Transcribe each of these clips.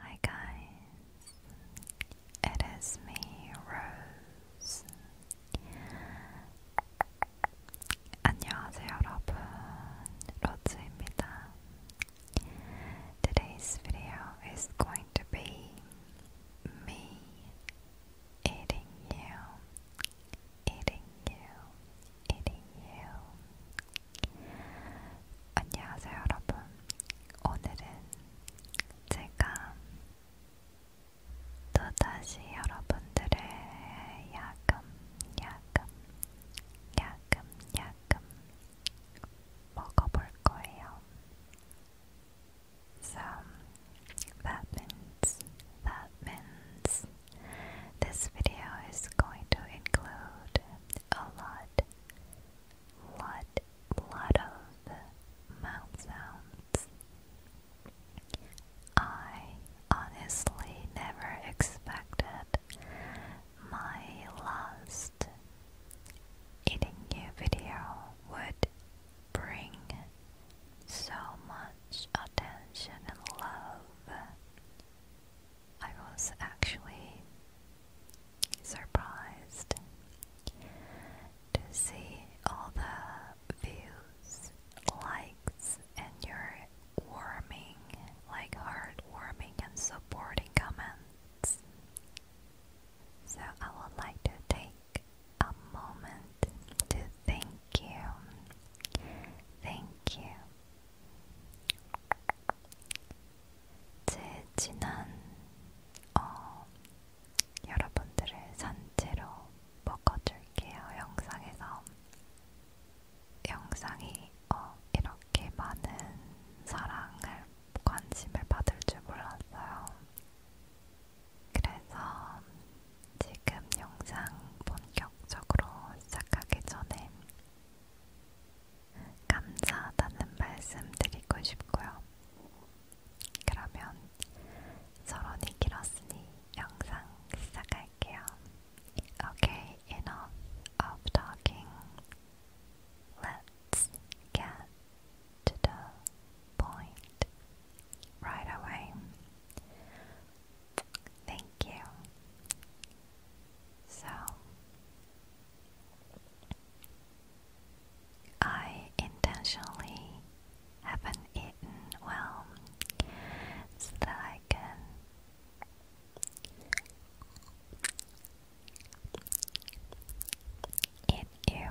Hi guys, it is me, Rose. 안녕하세요 여러분, 로즈입니다. Today's video is going to be me eating you, eating you, eating you. 안녕하세요, 여러분. 오늘은 제가 또다시 여러분들의 야금, 야금, 야금, 야금 먹어볼 거예요. So that means, that means this video is going to include a lot, lot, lot of mouth sounds. I honestly never expected my last eating you video would bring so much attention and love. I was actually surprised to see all the views, likes, and your warming, like heartwarming and supporting comments. So I would like to take a moment to thank you. Thank you. 제 지난 어, 여러분들을 산채로 먹어줄게요 영상에서 영상이 어, 이렇게 많은 사랑을 관심을 받을 줄 몰랐어요. 그래서 지금 영상 본격적으로 시작하기 전에 감사하다는 말씀 드리고 싶고요. 그러면 서론이 길었으니 영상 시작할게요. Okay, enough of talking. Let's get to the point right away. Thank you. So, I intentionally haven't eaten well so that I can eat you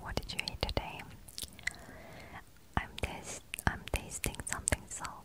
What did you eat today? I'm tasting something salty.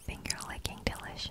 Finger licking delicious.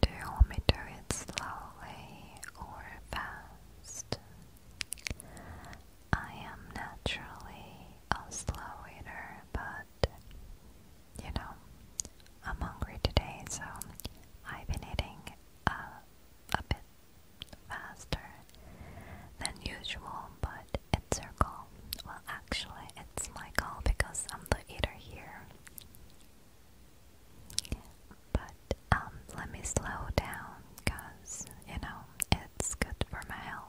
Do you want me to do it slowly or fast? I am naturally a slow eater, but you know, I'm hungry today, so I've been eating uh, a bit faster than usual, but it's your call. Well, actually, it's my call because I'm the eater here. But um, let me slow down because, you know, it's good for my health.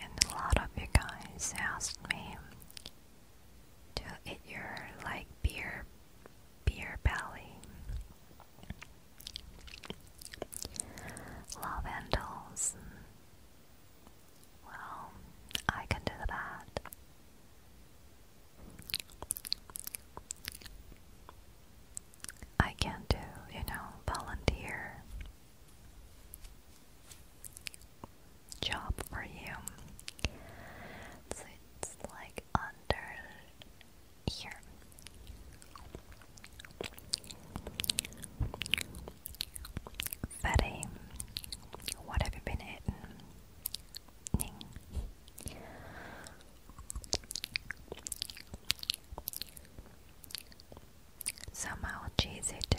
And a lot of you guys asked me to eat your like beer beer belly. Lavendels. Well, I can do that. I can do, you know, volunteer job for you. it's like under here. Fatty, what have you been eating? Ning. Somehow cheesy too.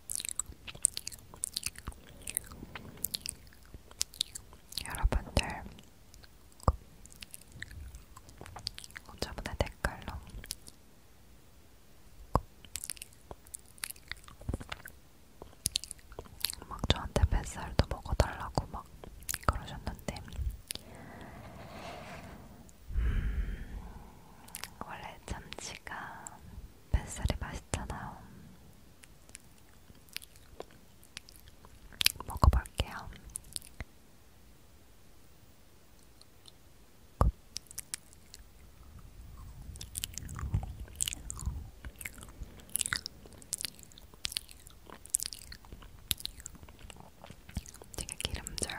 여러분들 저번에 댓글로 막 저한테 뱃살도 먹어달라고 막 그러셨는데 음, 원래 참치가 뱃살이 맛있잖아요. 먹어볼게요. 되게 기름져요.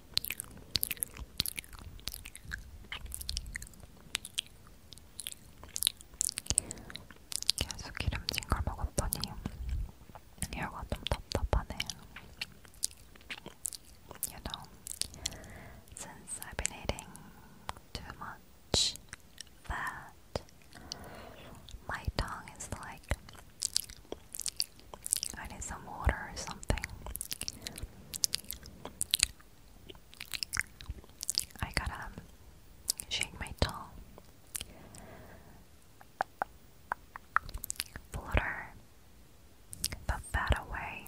계속 기름진 걸 먹었더니 혀가 좀 답답하네. You I've been eating too much fat, my tongue is like I need some water or something. I gotta um, shake my tongue. Flutter the fat away.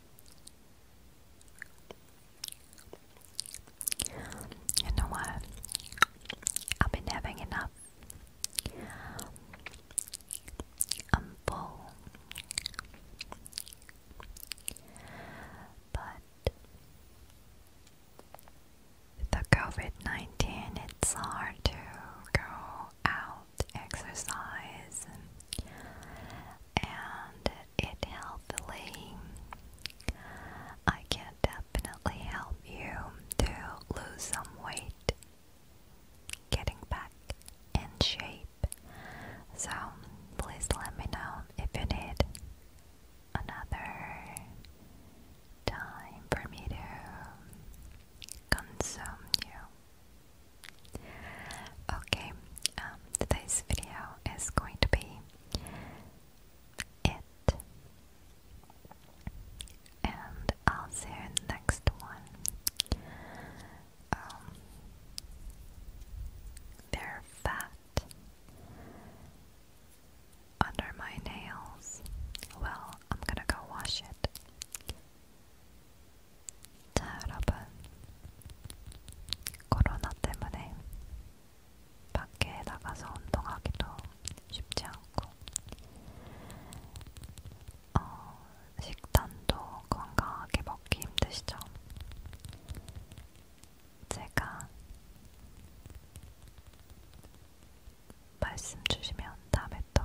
You know what? I've been having enough. I'm full. But the COVID 19, it's hard to go out exercise and it healthily. I can definitely help you to lose some weight, getting back in shape. So please let me know if you need another time for me to consume you. Okay, um, today's video is going to be it. And I'll see you next one. Um, fat under my nails. Well, I'm gonna go wash it. 자, 여러분. 코로나 때문에 밖에 나가서 운동하기도 쉽지 않고, 어, 식단도 건강하게 먹기 힘드시죠? 제가 말씀 주시면 다음에 또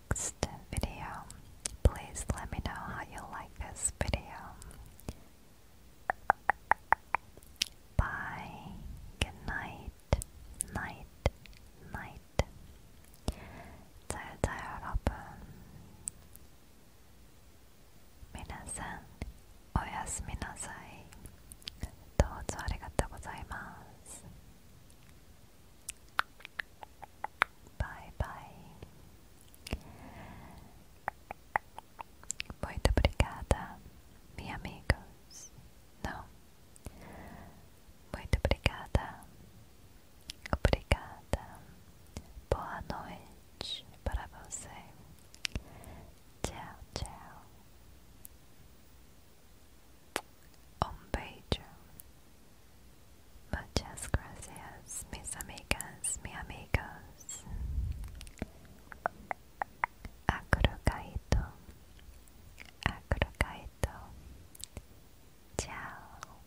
next video. Please let me know how you like this video. Bye. Good night. Night. Night. 잘자 여러분. 미나산 오야스미 나사이. どうぞありがとうございます。Bye, bye. Muito obrigada, meus amigos. Não. Muito obrigada. Obrigada. Boa noite para você. Tchau, tchau. un beso. Muchas gracias, mis amigas, mi amigos. Acrocaito, acrocaito. Chao.